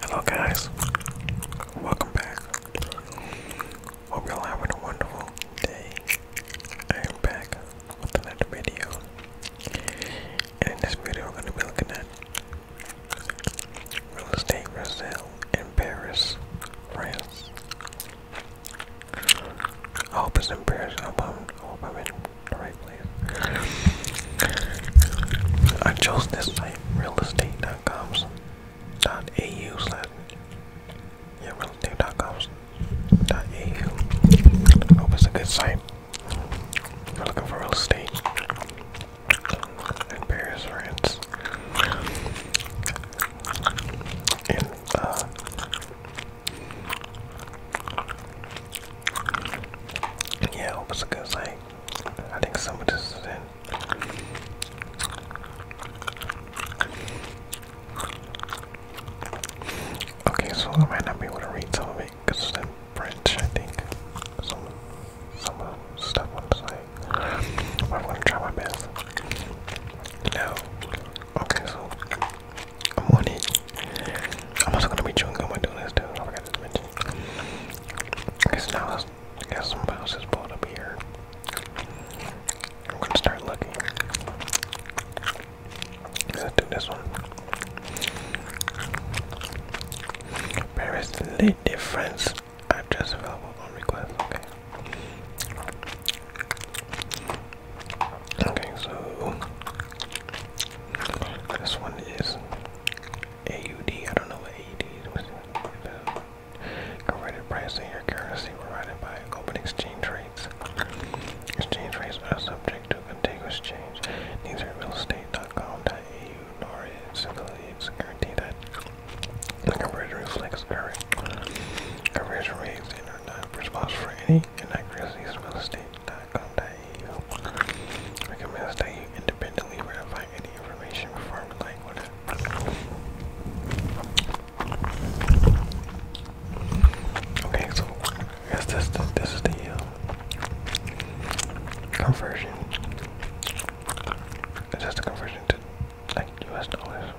Hello, guys. Welcome back. Hope you all having a wonderful day. I am back with another video. And in this video, we're going to be looking at real estate for sale in Paris, France. hope it's in Paris. I am I the right place. I chose this site, realestate.com.au yeah, realestate.com.au. Hope it's a good site. If are looking for real estate and various rents and uh, yeah, hope it's a good thing. I think some of this is in. Okay, so I might not be able to read some of it because it's in French, I think. Some, some stuff on the I'm gonna try my best. Now, Okay, so I'm on it. I'm also gonna be chewing gum and doing this too. I forgot to mention. Cause now I got some houses pulled up here. I'm gonna start looking. Let's do this one. There is the difference. I've just available on request. Okay. Okay, so this one is AUD. I don't know what AUD is. Converted price in currency provided by open exchange rates. Exchange rates are subject to continuous change. Neither are realestate.com.au nor its affiliates guarantee that the conversion reflects current conversion rates are not responsible for any connect grizzliesrealestate.com.au. Recommends that you independently verify any information before relying on Okay, so I this, this, is the um, conversion. It's just a conversion to like US dollars.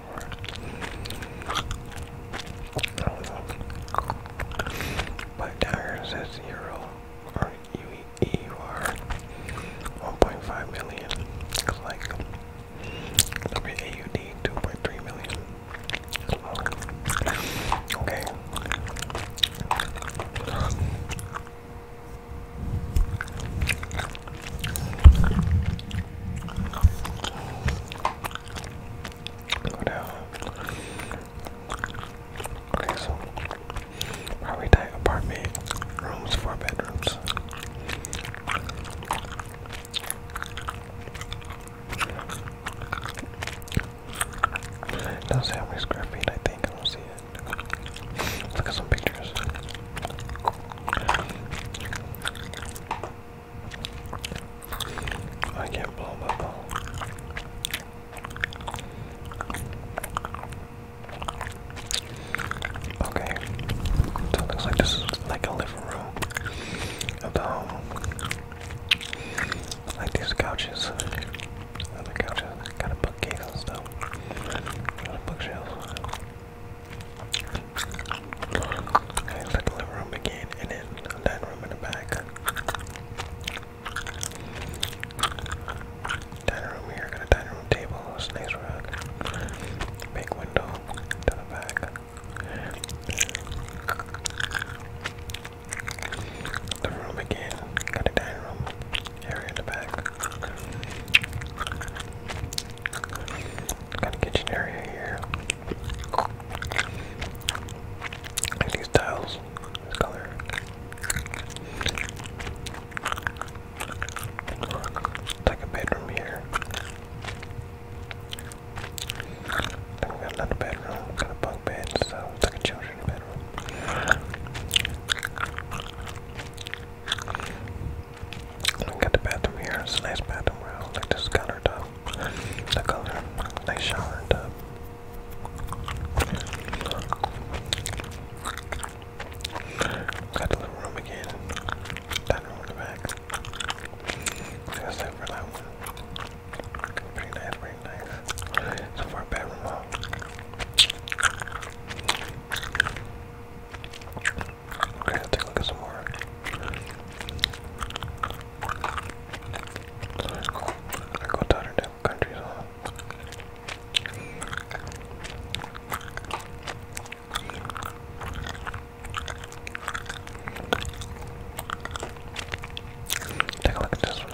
My tire says zero or R 1.5 million. It's AUD 2.3 million. Okay. Whatever. Okay, so probably type apartment rooms, four bedrooms. It not say how many square feet I think, I don't see it. look at some pictures. I can't blow my ball. Okay, so it looks like this is like a living room of Like these couches, other couches, got a bookcase and stuff, a bookshelf. Okay, the living room again, and then dining room in the back. Dining room here, got a dining room table, snakes rug, big window to the back. The room again, got a dining room area in the back. Got a kitchen area here. these tiles, this color. It's like a bedroom here. Then we got another bedroom, got a bunk bed, so it's like a children's bedroom. Got the bathroom here. It's a nice bathroom. I do like this color The color, nice shower tub. Uh, got the living room again. Dining in the back. That's it for that one. Pretty nice, pretty nice. So far, bedroom hall. Uh, Okay, let's take a look at some more. go, let to different countries, Take a look at this one.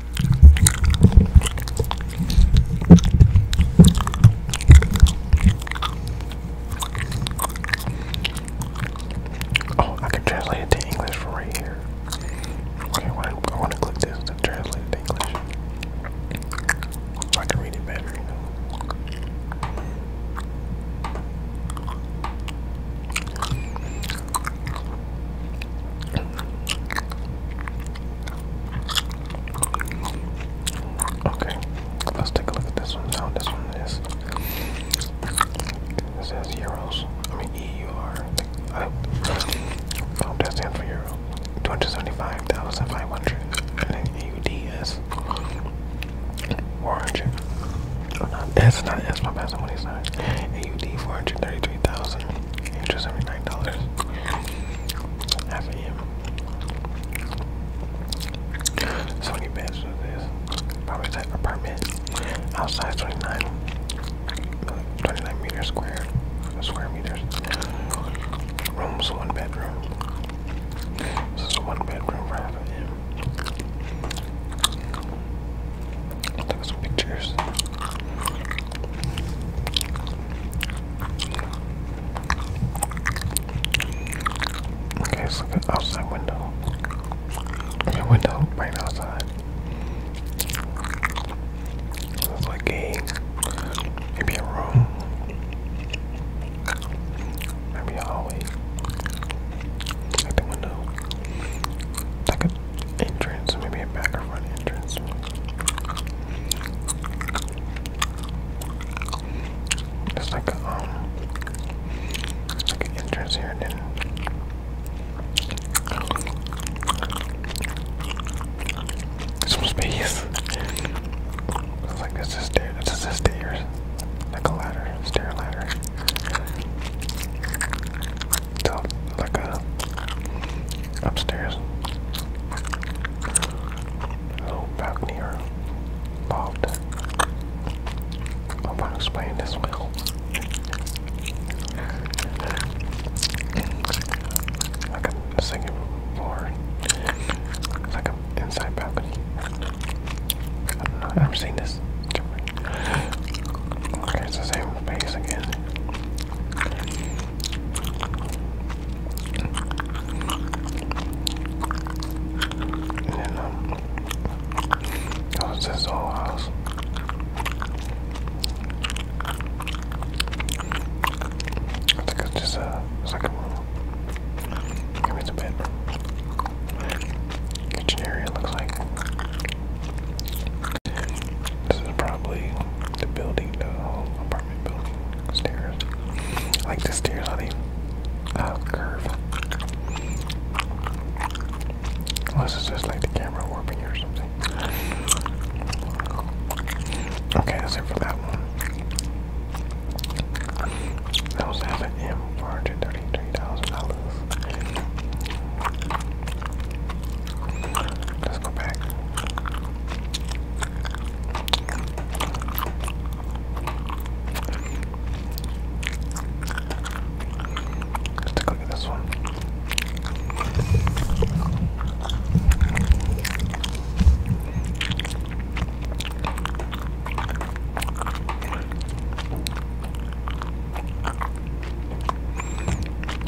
Oh, I can translate it to English from right here. Okay, I want to click this to translate to English. So I can read it better, Okay, let's take a look at this one now. This one is it says euros. I mean EUR. I hope that stands for euro. Two hundred seventy-five thousand five hundred, and then AUD is four hundred. Oh, that's not that's my bad. Somebody signed AUD four hundred thirty-three thousand. Interest was nine dollars. Half a year. beds with this. Probably that apartment. Outside 29, meters square, square meters. Rooms, one bedroom. This is one bedroom for half a I'll take some pictures. Okay, let's outside window. The window right outside. Looks like a maybe a room. Maybe a hallway. Like the window. Like entrance, maybe a back or front entrance. It's like a, um, like an entrance here, then some space. It's like this is stair, this a stairs, like a ladder, stair ladder. So, like uh, a upstairs, little balcony or loft. I hope I'm this well. Like a second floor, like an inside balcony. I have never seen this. Okay, it's the same face again. And then, um, oh, it's this just a, it's room. it's a bedroom. Kitchen area looks like. This is probably the building, the whole apartment building stairs. Like the stairs honey. the uh, curve. Unless it's just like the camera warping or something. Okay, that's it for that one. I also have M for dollars Let's go back. Let's take a look at this one.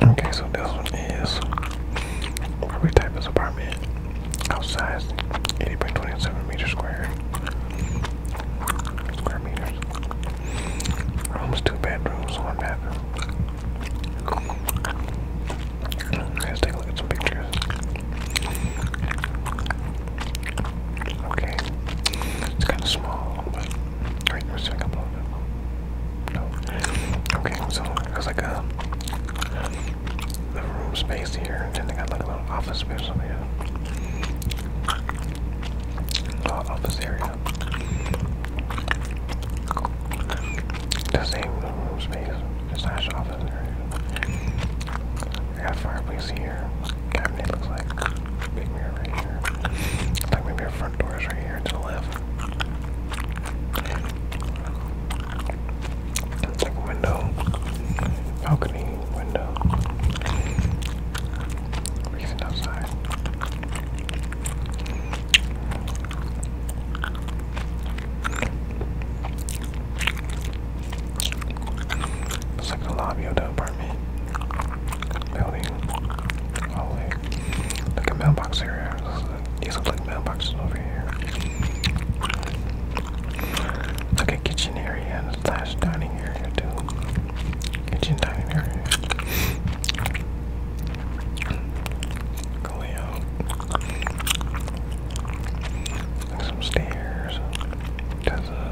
Okay, so this one is probably type is apartment outside 80 by 27 meters square. Square meters. Rooms, two bedrooms, one bathroom. Let's take a look at some pictures. Okay. It's kind of small, but. Wait, we're sitting up a little bit. No. Okay, so there's like a. Um, room space here, and they got like a little office space over here. office area. The same room space, slash office area. fireplace here cabinet looks like. Big mirror right here. Looks like maybe our front door is right here to the left. It's like a window. Balcony window. Reason outside. It's like the lobby of the apartment building all the Look at mailbox here. These look like mailboxes over here. Look at kitchen area and slash dining area too. Kitchen dining area. Going out. Like some stairs. There's a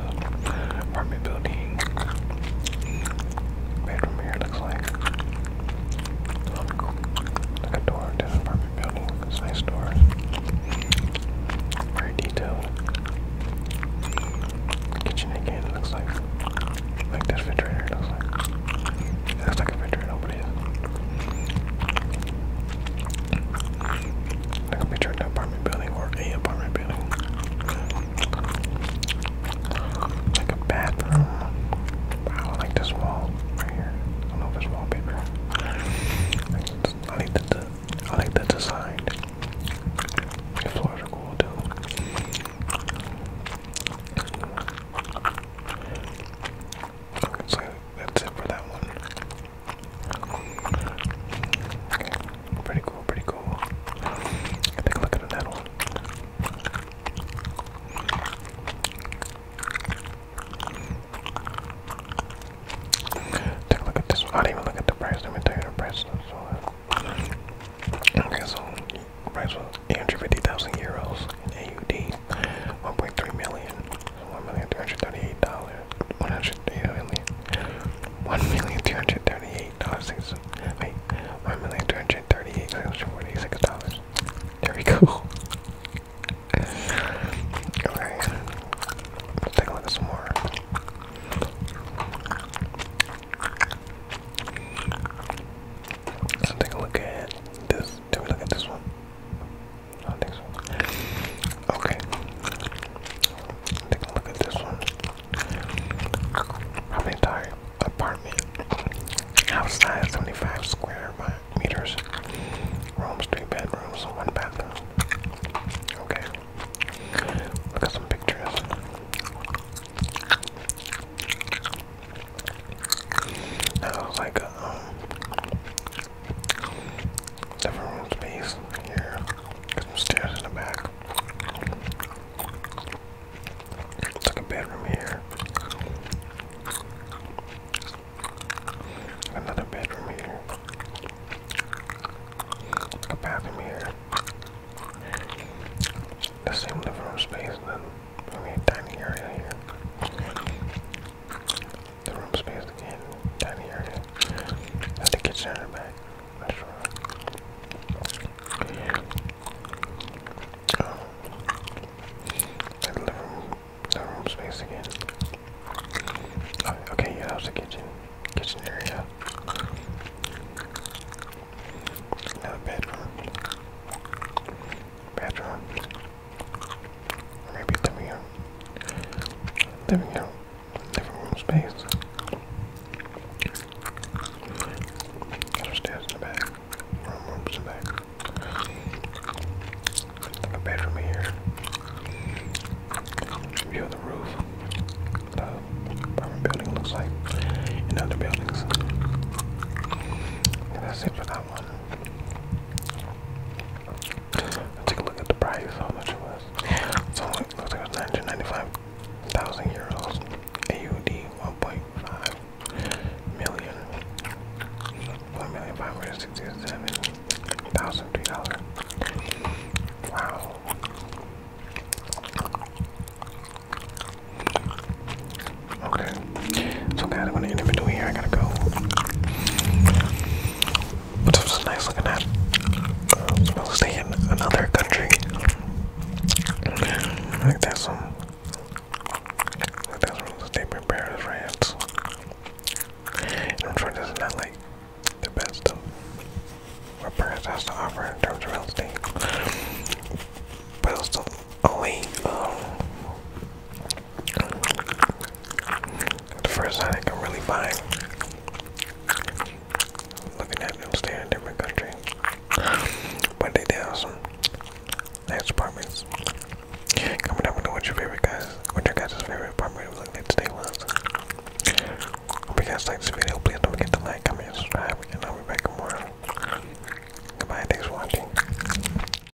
apartment building. Bedroom here looks like. Um, like a door to an apartment building. nice door. Very detailed. Kitchen again looks like. Like this refrigerator looks like. It like a refrigerator, but that could be turned to apartment building or a apartment building. Like a bathroom. Wow, I like this wall right here. I don't know if wallpaper. I like the, I like the design. The floors are cool too. So that's it for that one. Pretty cool, pretty cool. Take a look at that one. Take a look at this one. I didn't even look at the price. Let me tell you the price. So, okay, so price was 850,000 euros in AUD, 1.3 million one million two hundred thirty-eight dollars. One hundred one million two hundred thirty-eight dollars. Wait, one million two hundred thirty-eight dollars forty-six dollars. There we go. okay, let's take a look at some more. Let's take a look at this. Did we look at this one? I think so. Okay. Take a look at this one. Property entire apartment. House size 75 square meters. Rooms, three bedrooms, one bathroom. Okay. Look at some pictures. That looks like um everyone's base here. some stairs in the back. It's like a bedroom here. Another bedroom here. a bathroom here. The same living room space, and then I mean, dining area here. The room space again, tiny area. At the kitchen back. Not um, the living room, the room space again. okay, yeah, that the kitchen, kitchen area. Another bedroom. Bedroom there we go. There we go. Living room space. There's the back. Room, rooms the back. There's bedroom here. View of the roof. The building looks like. And other buildings. And that's for that one. Let's take a look at the price, how much was. So it looks like it 995,000 euros. AUD 1.5 million. 1,567,003 dollars. Wow. Okay. So guys, I'm gonna end it between here. I gotta go. But this nice looking at. I'll stay in another country. I think some. I think that's from the state prepared France. And I'm is not like the best stuff um, what France has to offer in terms of real estate. But it's the only um, the first time I can really buy. Looking at them stay in different country. But they did apartments. Comment down below what your favorite guys, what your guys' favorite apartment would look like today was. Hope you guys liked this video. Please don't forget to like, comment, subscribe, and I'll be back with Goodbye, thanks for watching.